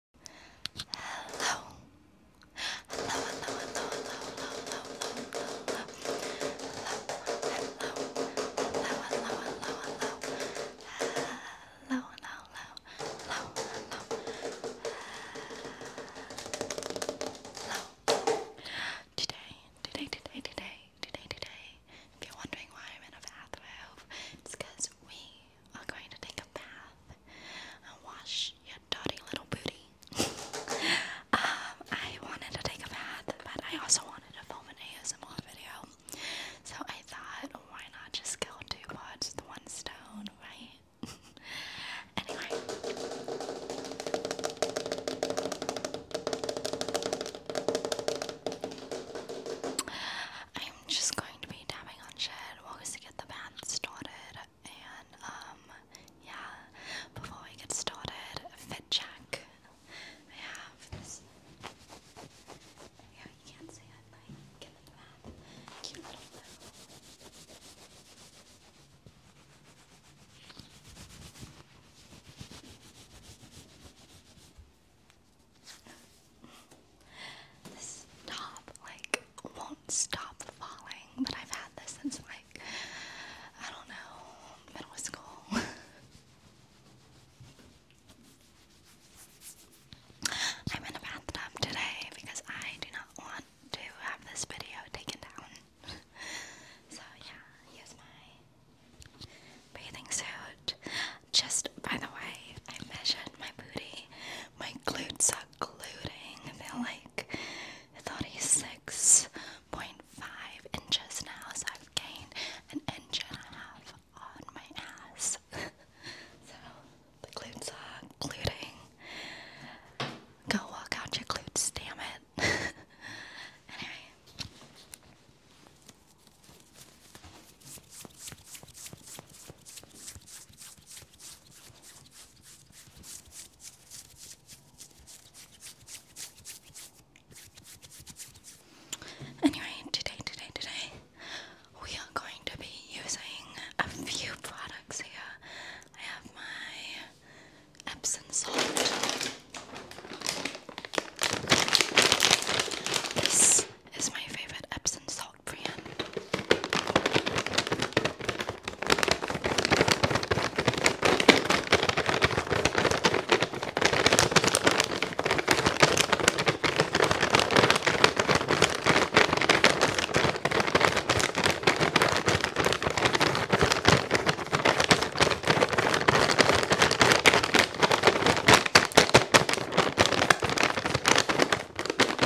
Hello. Hello, hello, hello, hello, hello, hello, hello, hello, hello, hello, hello, hello, hello, hello, hello, hello, Today, today, today, today, today, today. If you're wondering why I'm in a bathrobe, it's because we are going to take a bath and wash your dirty little booty. um, I wanted to take a bath, but I also wanted to film an ASMR video. So I thought, why not just kill two birds with one stone, right? anyway. I'm just going to be dabbing on shit while we get the band started. And, um, yeah, before we get started, fit check. Yeah, this top like won't stop falling, but I've had this since like I don't know middle school. I'm in a bathtub today because I do not want to have this video taken down. so yeah, here's my bathing suit. Just by the way, I measured my booty. My glutes are gluting. They're like 36.5 inches now, so I've gained an inch and a half on my ass. so the glutes are gluting. Go walk out your glutes, damn it. anyway. Anyway, today, today, today, we are going to be using a few products here. I have my Epsom salt. This is my favorite Epsom salt brand. And on my nose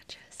edges.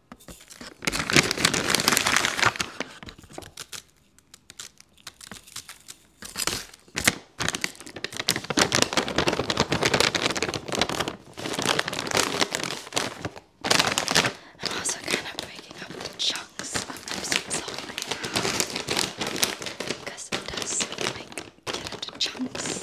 I'm also kind of breaking up the chunks of my music right now because it does like get into chunks.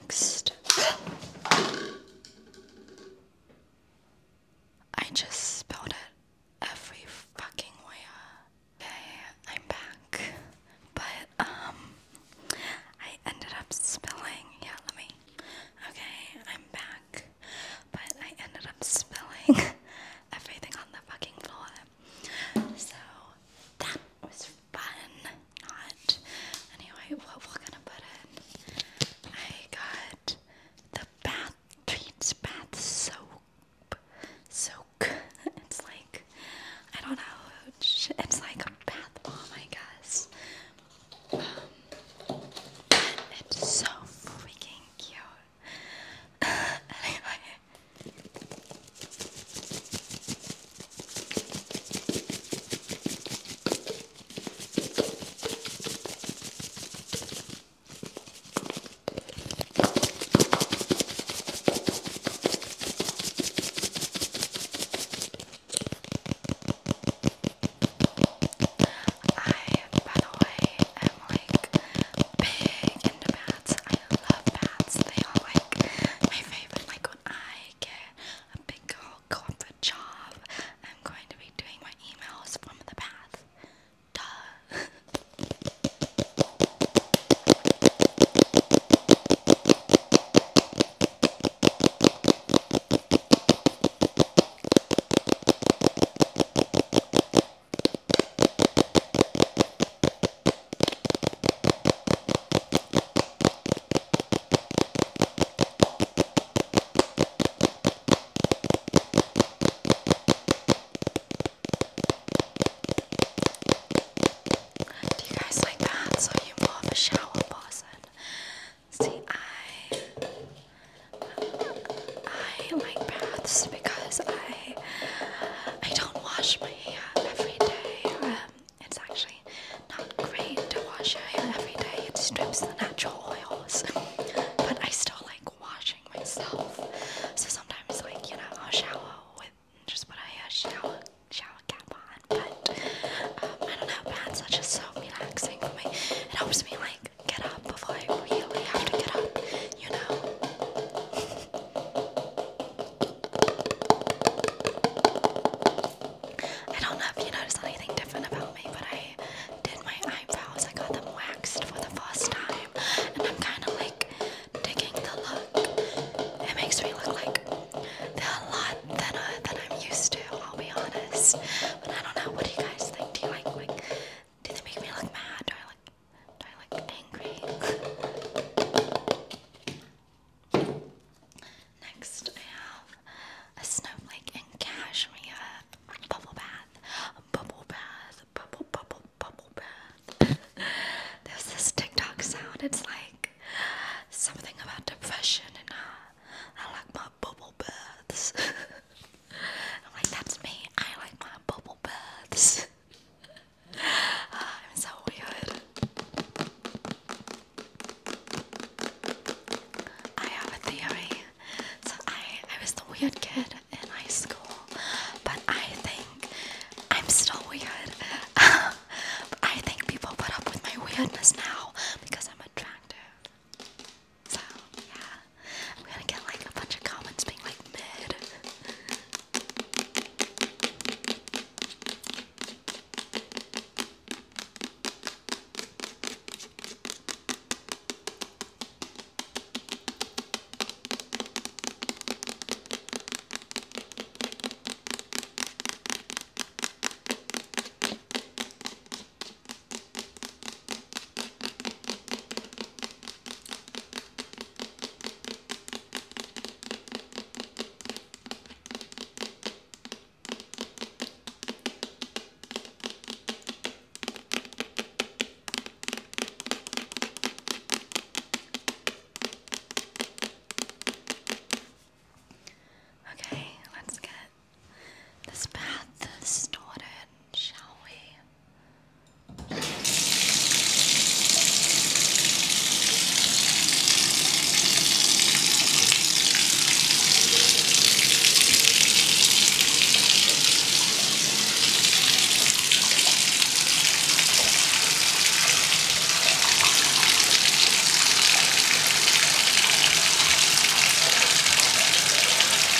Next, I just spilled it every fucking way. Okay, I'm back, but um, I ended up spilling. Yeah, let me. Okay, I'm back, but I ended up spilling everything on the fucking floor. So that was fun. Not anyway, what we're gonna put in. I got the bath treats bath soap. Soak. It's like I don't know. It's like bath bomb, I guess. Um, it's so freaking cute anyway. I, by the way, am like big into math. I love bats. They are like my favorite. Like when I get a big girl corporate job, I'm going to be doing my emails from the bath. Duh. Do you guys like that? So you more of a shower person. See, I I like baths because I I don't wash my hair every day. Um, it's actually not great to wash your hair every day. It strips the natural oils. but I still like washing myself. So sometimes, like you know, I'll shower with just put a shower shower cap on. But um, I don't know, baths are just so relaxing for me. It helps me like get up before I really have to get up, you know. I don't know if you noticed anything different about me, but I did my eyebrows. I got them waxed for the first time, and I'm kind of like digging the look. It makes me look like a lot thinner than I'm used to. I'll be honest, but I don't know. What do you guys think? Do you like like? Do they make me look mad do I look angry? Next, I have a snowflake and cashmere bubble bath. Bubble bath. Bubble, bubble, bubble bath. There's this TikTok sound. It's like something about depression, and uh, I like my bubble baths. I'm like, that's me. I like my bubble Ah, I'm so weird. I have a theory. So I, I was the weird kid in high school, but I think I'm still weird. I think people put up with my weirdness now because I'm attractive. So yeah. I'm gonna get like a bunch of comments being like mid. Okay, let's get this bath started shall we?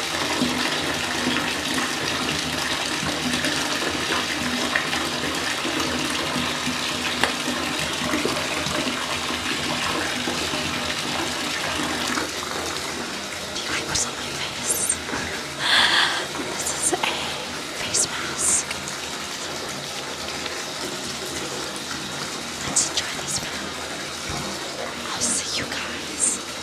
I was on my face. This is a face mask. Let's enjoy these now. I'll see you guys